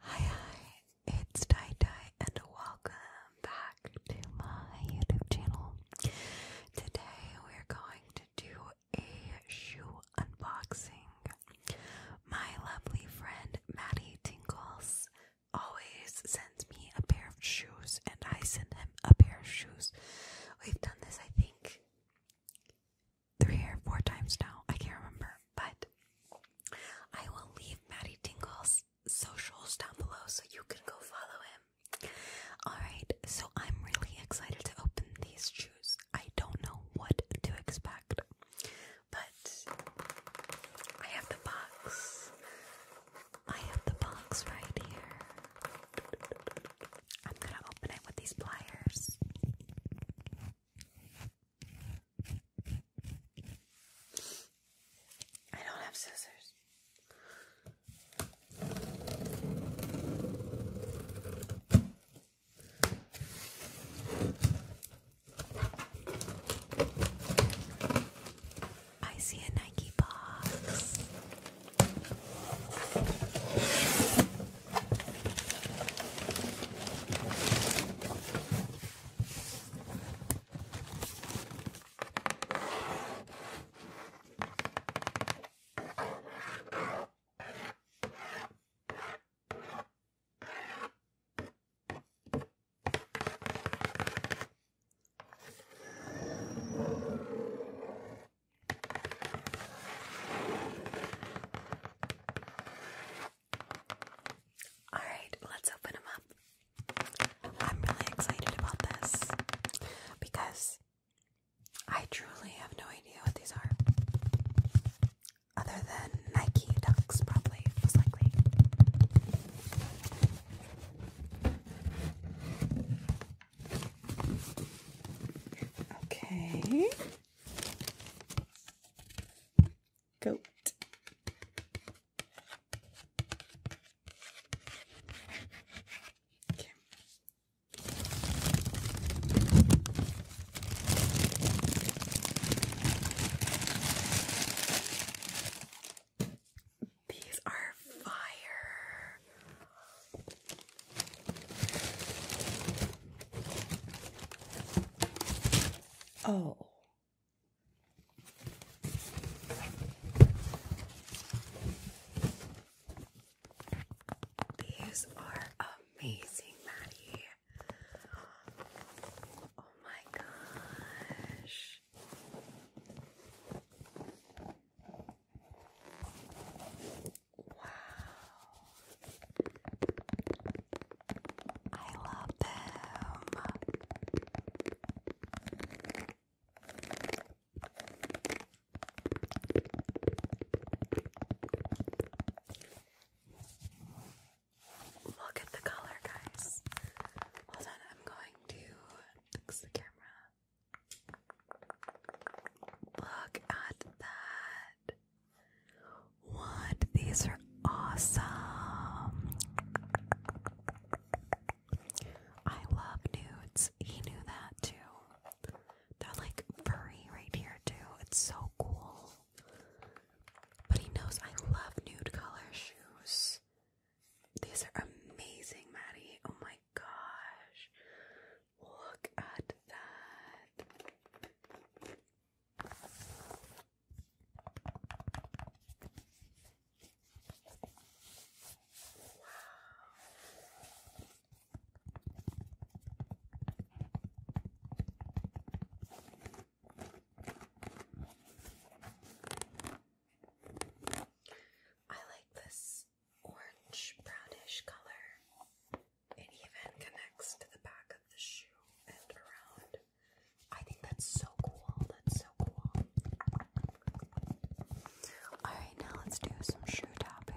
Hi, hi, it's Tai Tai, and welcome back to my YouTube channel. Today, we're going to do a shoe unboxing. My lovely friend Maddie Tingles always sends me a pair of shoes, and I send him a pair of shoes. We've done this, I think, three or four times now. I can't remember, but I will leave Maddie Tingles' socials down below so you can go follow him. Alright, so I'm really excited to open these shoes. I don't know what to expect, but I have the box. I have the box right here. I'm gonna open it with these pliers. I don't have scissors. I see a Nike box. All right, let's open them up. I'm really excited about this because I truly have no idea what these are other than Nike Ducks, probably most likely. Okay. Goat. These are fire. Oh. These are amazing, Maddie. Oh my gosh. Wow. I love them. Look at the color, guys. Hold on, I'm going to fix the camera. Look at that. What? These are awesome. I love nudes. He knew that too. They're like furry right here too. It's so cool. But he knows I love nude color shoes. These are amazing, Maddie. Oh my gosh. Look at that. Wow. I like this orange brownish color. It even connects to the back of the shoe and around. I think that's so cool. That's so cool. Alright, now let's do some shoe tapping.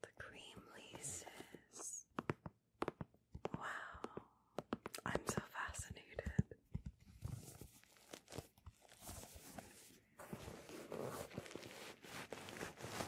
The cream laces. Wow, I'm so fascinated.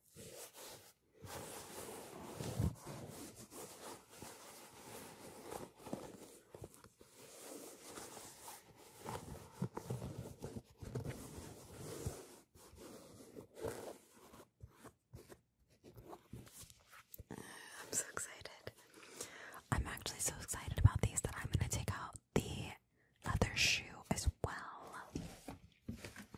I'm so excited. I'm actually so excited about these that I'm going to take out the leather shoe as well.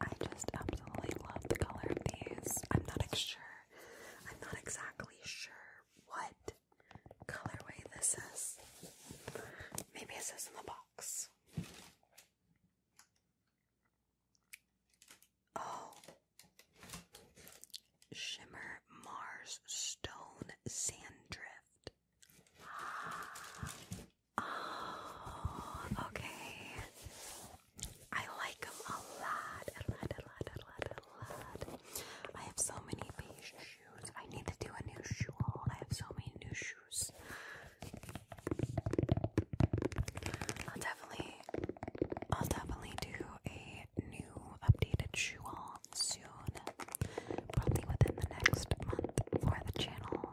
I just absolutely love the color of these. I'm not sure. I'm not exactly sure what colorway this is. Maybe it says in the box. Oh. Shimmer Mars Stone Sand Drift. Ah. Oh, okay. I like them a lot, a lot, a lot, a lot, a lot. I have so many beige shoes. I need to do a new shoe haul. I have so many new shoes. I'll definitely, I'll definitely do a new updated shoe haul soon. Probably within the next month for the channel.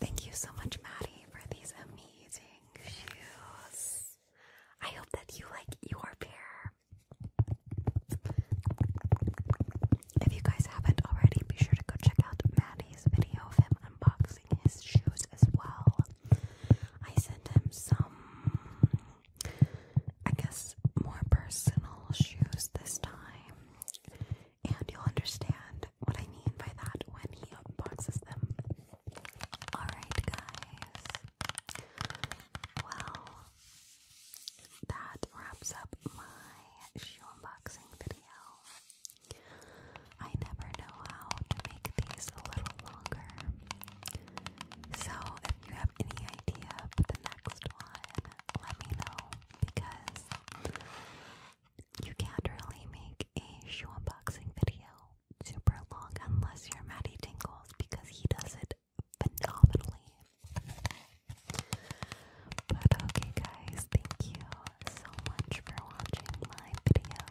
Thank you so much, Maddie, for these amazing shoes. I hope that you like your pair. If you guys haven't already, be sure to go check out Maddie's video of him unboxing his shoes as well. I sent him some, I guess, more personal shoes this time, and you'll understand what I mean by that when he he unboxes them. Alright, guys. Well, that wraps up my shoe unboxing video. I never know how to make these a little longer. So, if you have any idea for the next one, let me know because you can't really make a shoe unboxing video super long unless you're Maddie Tingles because he does it phenomenally. But okay, guys, thank you so much for watching my video.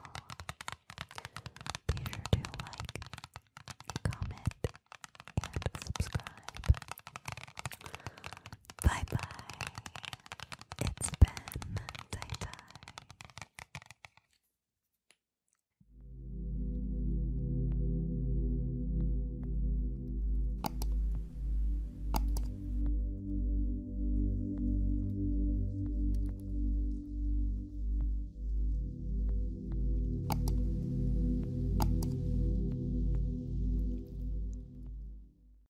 Be sure to like, comment, and subscribe. Bye bye. It's been tie tie.